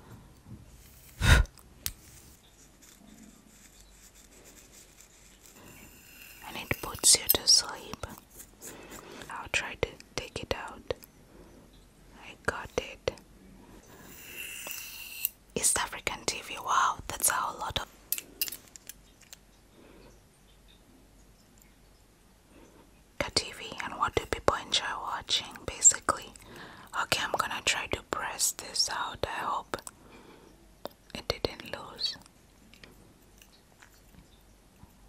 and it puts you to sleep. I'll try to take it out. I got it. East African TV. Wow, that's how a lot of. TV and what do people enjoy watching basically? Okay, I'm gonna try to press this out. I hope it didn't lose.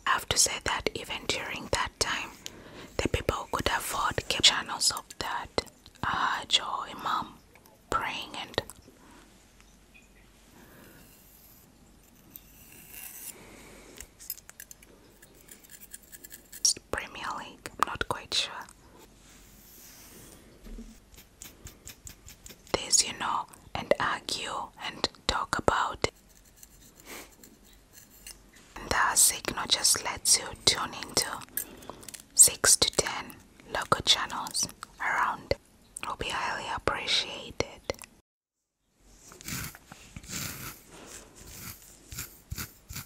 I have to say that even during that time, the people who could afford kept channels of that Hajj uh, or Imam praying and it's Premier League, I'm not quite sure. This, you know, and argue and talk about it. And the signal just lets you tune into 6 to 10 local channels around. Will be highly appreciated.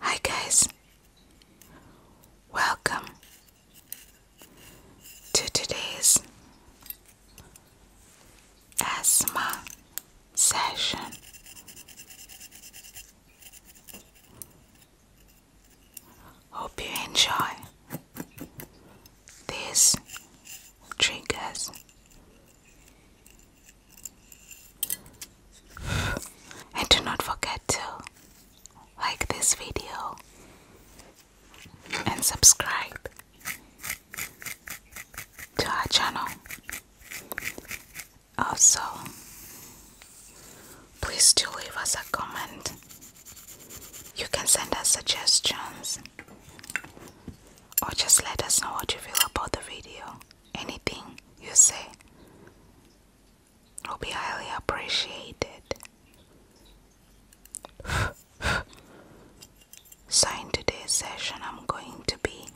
Hi guys, welcome to today's asthma session. Hope you enjoy these triggers. And do not forget to like this video and subscribe to our channel. Also, please do leave us a comment. You can send us suggestions or just let us know what you feel about the video. Anything you say will be highly appreciated. so, in today's session, I'm going to be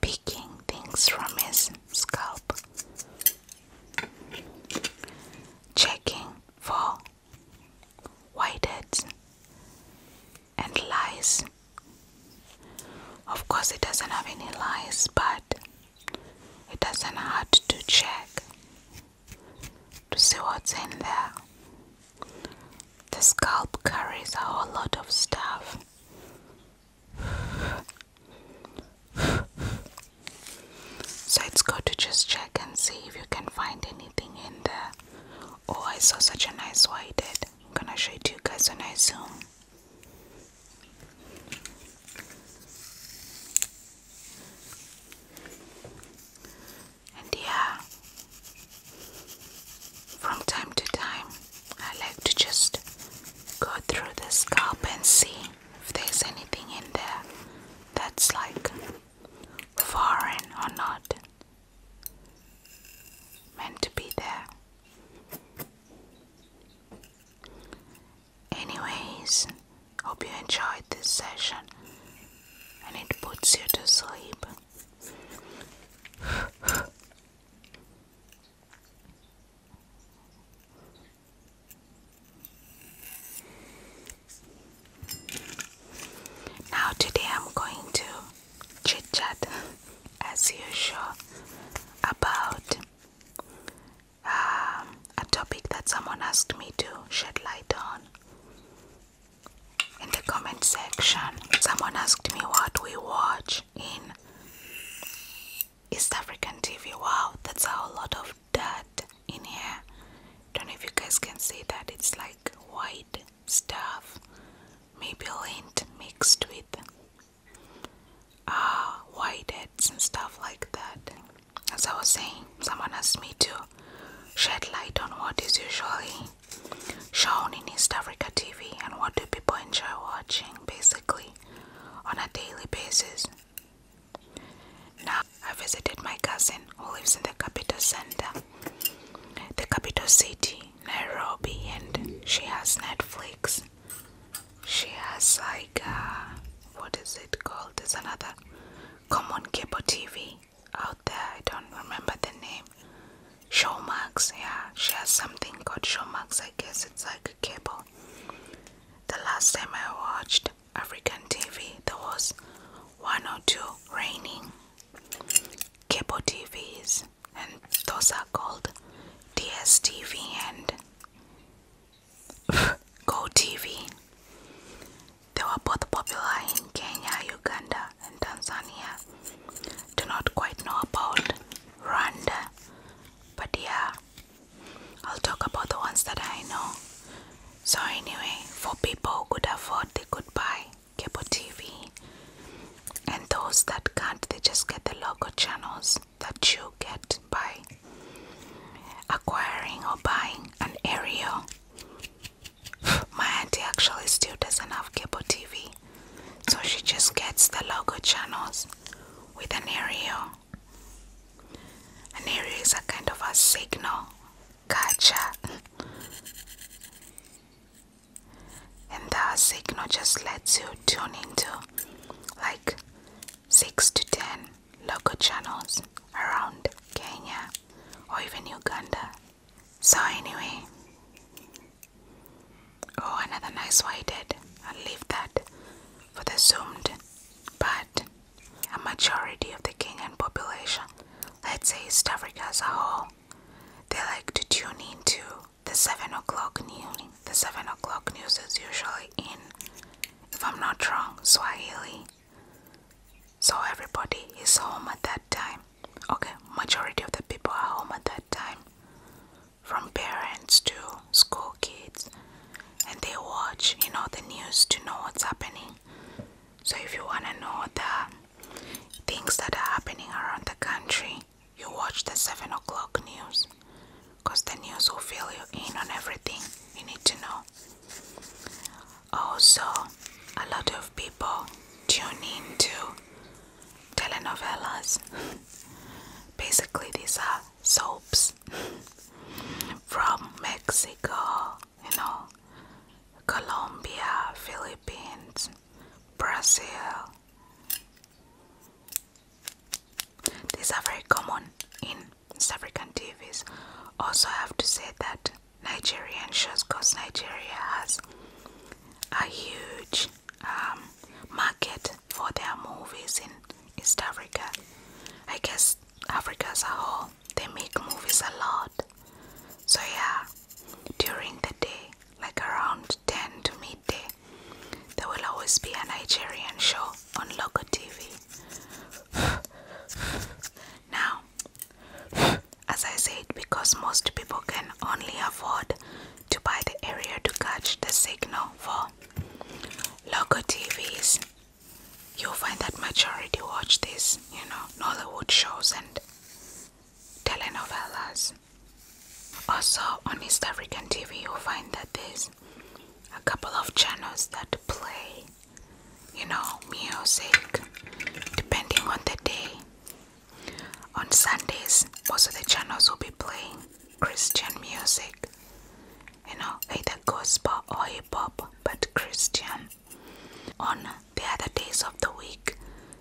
picking things from his scalp, checking for whiteheads and lies. Of course, it doesn't have any lies, but it doesn't hurt to check to see what's in there. The scalp carries a whole lot of stuff. So it's good to just check and see if you can find anything in there. Oh, I saw such a nice white. I'm gonna show it to you guys when I zoom. And yeah, from time to time, I like to just go through the scalp and see if there's anything in there that's like foreign or not meant to be there. Anyways, hope you enjoyed this session and it puts you to sleep. now, today I'm going to chit chat as usual about um, a topic that someone asked me to shed light on in the comment section. Someone asked me what we watch in East African TV. Wow, that's a lot of dirt in here. Don't know if you guys can see that it's like white stuff, maybe lint mixed with uh, whiteheads and stuff like that. As I was saying, someone asked me to shed light on what is usually shown in East Africa TV and what do people enjoy watching basically on a daily basis. Now, I visited my cousin who lives in the capital center, the capital city, Nairobi, and she has Netflix. She has like. Uh, what is it called? There's another common cable TV out there. I don't remember the name. Showmax, yeah, she has something called Showmax. I guess it's like a cable. The last time I watched African TV, there was one or two raining cable TVs, and those are called DSTV and Go TV. They were both popular in Kenya, Uganda, and Tanzania. Do not quite know about Rwanda, but yeah, I'll talk about the ones that I know. So, anyway, for people who could afford, they could buy cable TV, and those that can't, they just get the local channels that you get by acquiring or buying an aerial. My auntie actually still doesn't have cable TV, so she just gets the logo channels with an aerial. An aerial is a kind of a signal catcher, and that signal just lets you tune into like 6 to 10 local channels around Kenya or even Uganda. So, anyway, oh, another nice whited. I'll leave that for the zoomed, but a majority of the Kenyan population, let's say East Africa as a whole, they like to tune into the 7 o'clock news. The 7 o'clock news is usually in, if I'm not wrong, Swahili. So everybody is home at that time. Okay, majority of the people are home at that time. From parents to school kids. And they watch, you know, the news to know what's happening. So if you wanna know the things that are happening around the country, you watch the seven o'clock news because the news will fill you in on everything you need to know. Also, a lot of people tune in to telenovelas. Basically, these are soaps from Mexico, you know, Colombia, Philippines, Brazil, these are very common in South African TVs. Also, I have to say that Nigerian shows, because Nigeria has a huge um, market for their movies in East Africa. I guess Africa as a whole, they make movies a lot. So, yeah, during the day, like around 10 to midday, there will always be a Nigerian show on local TV. now, as I said, because most people can only afford to buy the area to catch the signal for local TVs, you'll find that majority watch these, you know, Nollywood shows and telenovelas. Also, on East African TV, you'll find that there's a couple of channels that play, you know, music depending on the day. On Sundays, most of the channels will be playing Christian music, you know, either gospel or hip hop, but Christian. On the other days of the week,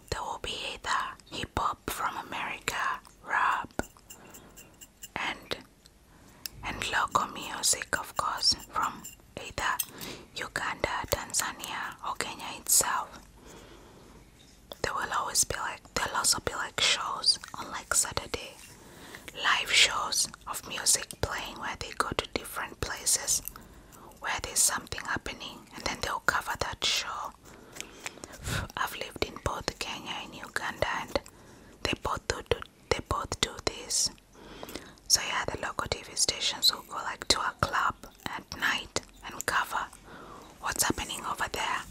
there will be either hip hop from America, rap, and and local music of course from either Uganda, Tanzania or Kenya itself. There will always be like there'll also be like shows on like Saturday. Live shows of music playing where they go to different places where there's something happening and then they'll cover that show I've lived in both Kenya and Uganda, and they both do they both do this. So yeah, the local TV stations will go like to a club at night and cover what's happening over there,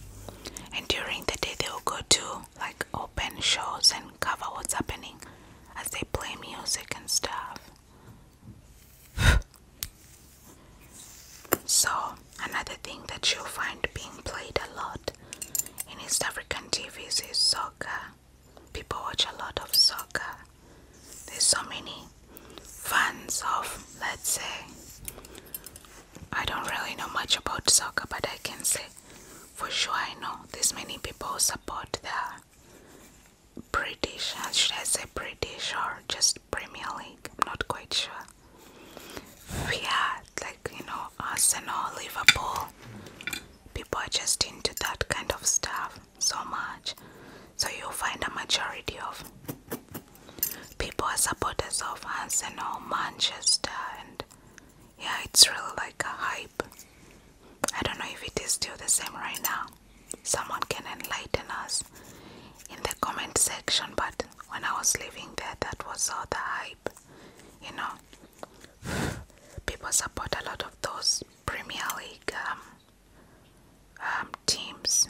and during the day they will go to like open shows and cover what's happening as they play music and stuff. so Another thing that you'll find being played a lot in East African TVs is soccer. People watch a lot of soccer. There's so many fans of, let's say, I don't really know much about soccer, but I can say for sure I know there's many people support the British, should I say British or just Premier League? I'm not quite sure. Fiat like you know Arsenal, Liverpool. People are just into that kind of stuff so much. So you'll find a majority of people are supporters of Arsenal, Manchester, and yeah, it's really like a hype. I don't know if it is still the same right now. Someone can enlighten us in the comment section, but when I was living there, that was all the hype. You know, people support a lot of those Premier League um, um, teams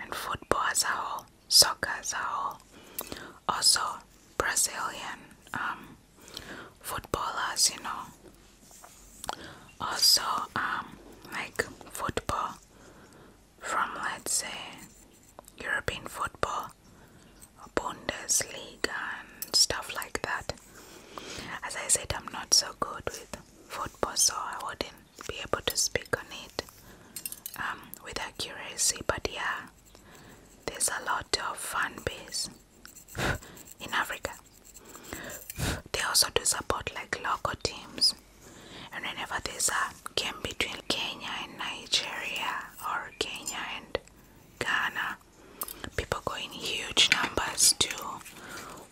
and football as a whole, soccer as Also, Brazilian um, footballers, you know. Also, like football from, let's say, European football, Bundesliga, and stuff like that. As I said, I'm not so good with football, so I wouldn't be able to speak on it um, with accuracy. But yeah, there's a lot of fan base in Africa. They also do support like local teams and whenever there's a game between Kenya and Nigeria or Kenya and Ghana, people go in huge numbers to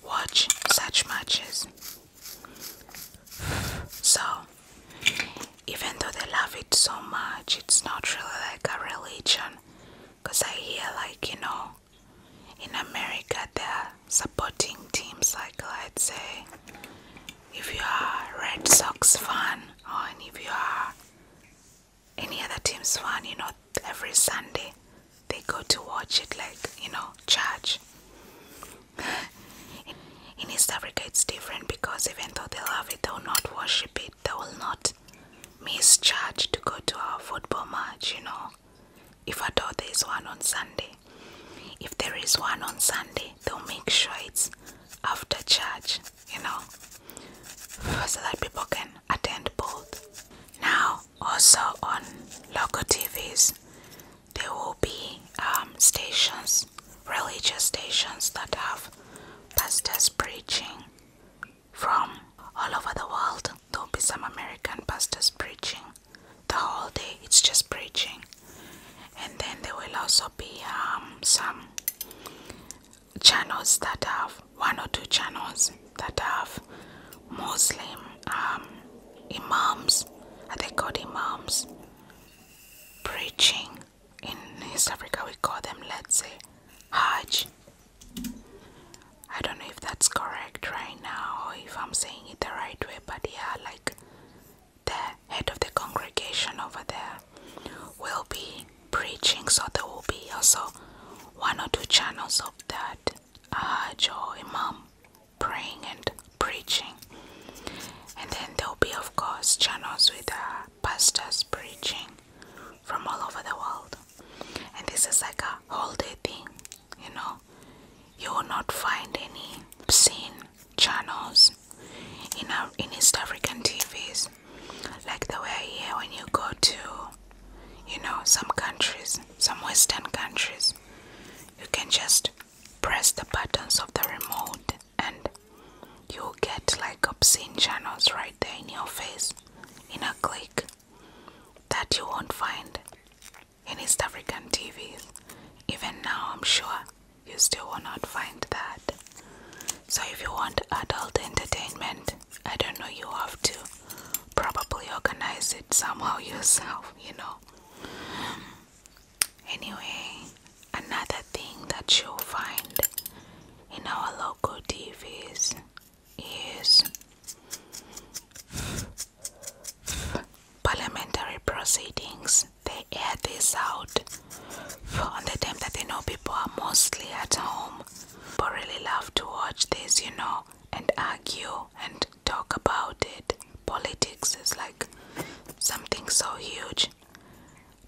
watch such matches. So, even though they love it so much, it's not really like a religion because I hear, like, you know, in America they're supporting teams like, let's say, if you are Red Sox fan or if you are any other team's fan, you know, every Sunday they go to watch it like, you know, church. In East Africa it's different because even though they love it, they will not worship it, they will not miss church to go to a football match, you know. If at all there is one on Sunday, if there is one on Sunday, they'll make sure it's after church, you know, so that people can attend both. Now, also on local TVs, there will be um, stations, religious stations that have pastors preaching from all over the world. There'll be some American pastors preaching, the whole day it's just preaching and then there will also be um, some channels that have one or two channels that have muslim um, imams are they called imams preaching in east africa we call them let's say hajj i don't know if that's correct right now or if i'm saying it the right way but yeah like the head of the congregation over there will be preaching, so there will be also one or two channels of that Hajj uh, or Imam praying and preaching, and then there will be, of course, channels with uh, pastors preaching from all over the world. And this is like a whole day thing, you know you will not find any obscene channels in our in East African TVs like the way here when you go to you know some countries some western countries you can just press the buttons of the remote and you'll get like obscene channels right there in your face in a click that you won't find in East African TVs. Even now, I'm sure you still will not find that. So, if you want adult entertainment, I don't know, you have to probably organize it somehow yourself, you know. Anyway, another thing that you'll find in our local TVs is parliamentary proceedings. They air this out on the time that they know people are mostly at home. But really love to watch this, you know, and argue and talk about it. Politics is like something so huge,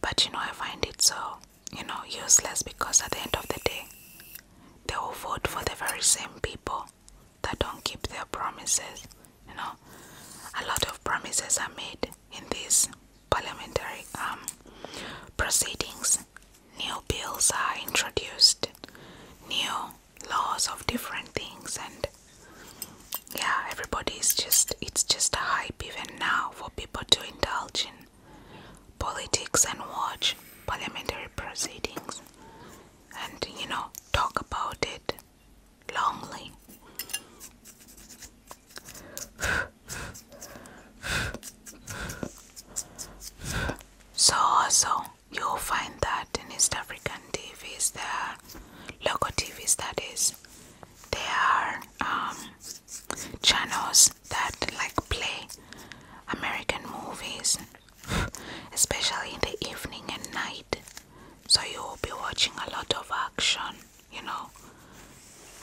but you know, I find it so, you know, useless because at the end of the day, they all vote for the very same people that don't keep their promises. You know, a lot of promises are made in these parliamentary um, proceedings. New bills are introduced, new laws of different things, and yeah, everybody is just, it's just a hype even now for people to indulge in politics and watch parliamentary proceedings and you know talk about it lonely. So also you'll find that in East African TVs there, local TVs that is, there are um, channels that like play American movies especially in the evening and night. So you will be watching a lot of action, you know,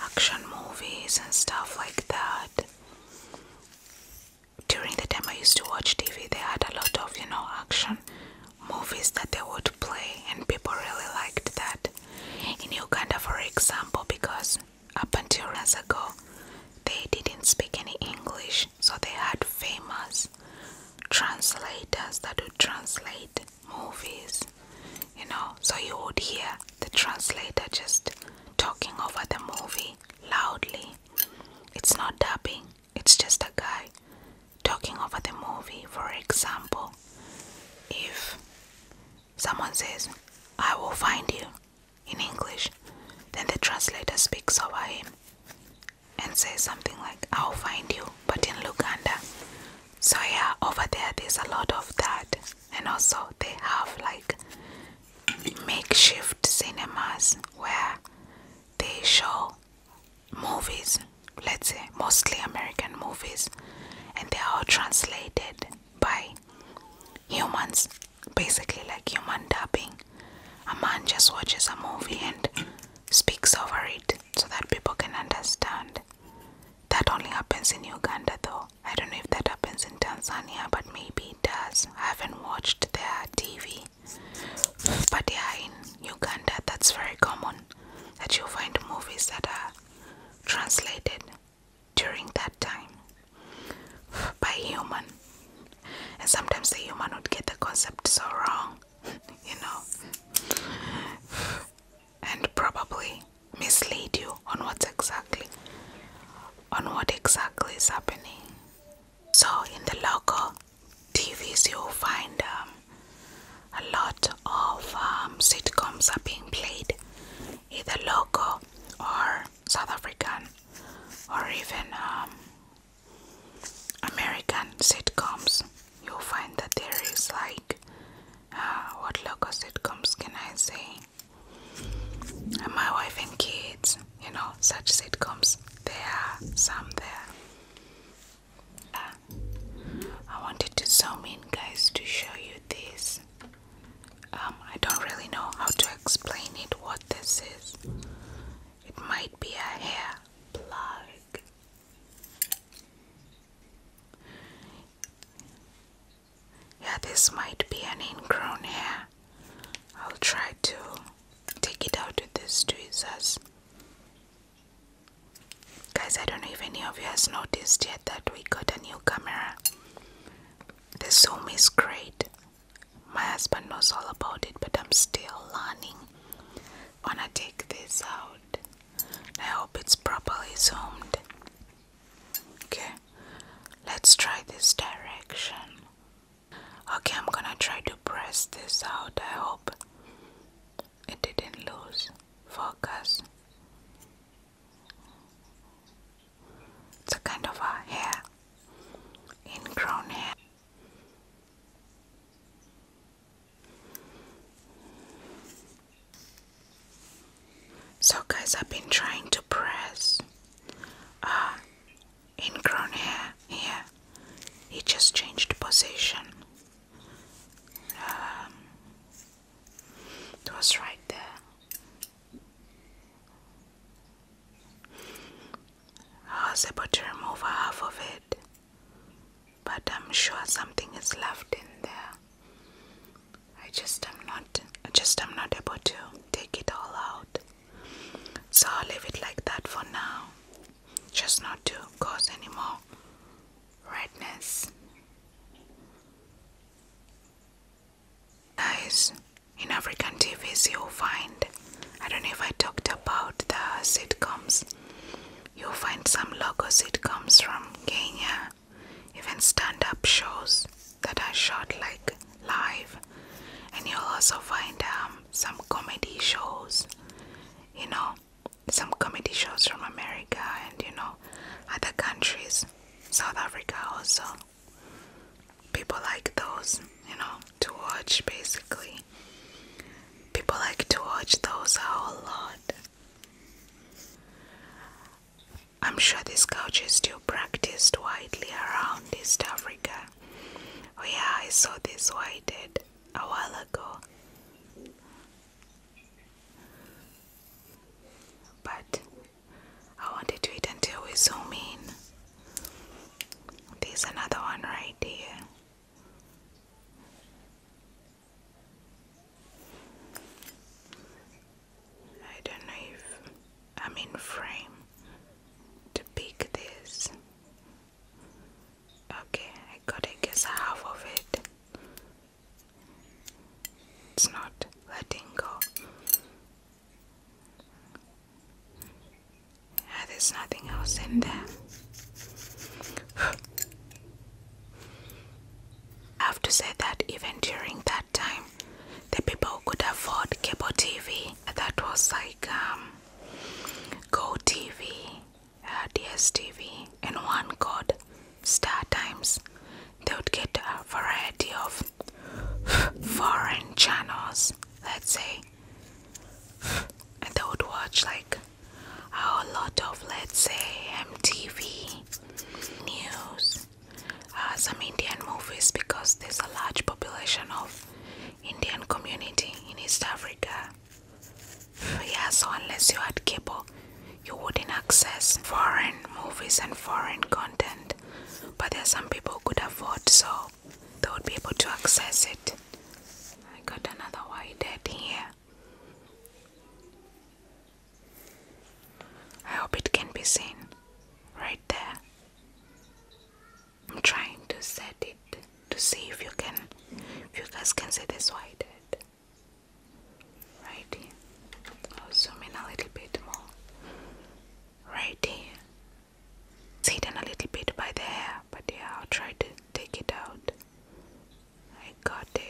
action movies and stuff like that. During the time I used to watch TV, they had a lot of, you know, action movies that they would play, and people really liked that. In Uganda, for example, because up until years ago, they didn't speak any English, so they had famous translators that would translate movies, you know. So you would hear the translator just talking over the movie loudly. It's not dubbing, it's just a guy talking over the movie. For example, if someone says, I will find you in English, then the translator speaks over him and say something like, I'll find you, but in Luganda. So, yeah, over there, there's a lot of that, and also they have like makeshift cinemas where they show movies, let's say mostly American movies, and they are translated by humans, basically like human dubbing. A man just watches a movie and speaks over it so that people can understand. That only happens in Uganda though. I don't know if that happens in Tanzania, but maybe it does. I haven't watched their TV. But yeah, in Uganda, that's very common that you'll find movies that are translated during that time by human. And sometimes the human would get the concept so wrong you know, and probably mislead you on what's exactly on what exactly is happening. So in the local TVs, you'll find um, a lot of um, sitcoms are being played, either local or South African, or even um, American sitcoms, you'll find that there is like uh, what local sitcoms can I say? And uh, my wife and kids, you know, such sitcoms. There are some there. Uh, I wanted to zoom in, guys, to show you this. Um, I don't really know how to explain it. What this is, it might be a hair plug. Yeah, this might be an ingrown hair. I'll try to take it out with these tweezers. Guys, I don't know if any of you has noticed yet that we got a new camera. The zoom is great my husband knows all about it, but I'm still learning. Wanna take this out? I hope it's properly zoomed. Okay, let's try this direction. Okay, I'm gonna try to press this out. I hope it didn't lose focus. It's a kind of a hair, ingrown hair. So, guys, I've been trying to press uh, ingrown hair here. He just changed position. Um, it was right there. I was able to remove half of it, but I'm sure something is left in there. I just am not I am not able to take it all out. So I'll leave it like that for now. Just not to cause any more redness. Guys, in African TVs, you'll find I don't know if I talked about the sitcoms, you'll find some local sitcoms from Kenya, even stand up shows that are shot like live, and you'll also find um, some comedy shows, you know, some comedy shows from America and you know, other countries, South Africa also people like those, you know, to watch basically. People like to watch those a whole lot. I'm sure this couch is still practiced widely around East Africa. Oh, yeah, I saw this whited a while ago. But I wanted to eat until we are so mean. There's another one right here. I don't know if I'm in frame to pick this. Okay, I gotta guess half of it. It's not letting go. Ah, there's nothing else in there. I have to say that even during that time, the people who could afford cable TV, that was like um, Go TV, uh, DSTV, and one called Star Times, they would get a variety of foreign channels, let's say I would watch like a lot of let's say MTV news, uh, some Indian movies because there's a large population of Indian community in East Africa. Yeah, so unless you had cable, you wouldn't access foreign movies and foreign content. But there are some people who could afford so they would be able to access it. I got another wide head here. I hope it can be seen right there. I'm trying to set it to see if you can you guys can see this wide head. Right here. I'll zoom in a little bit more. Right here. It's hidden a little bit by the hair, but yeah, I'll try to take it out. I got it.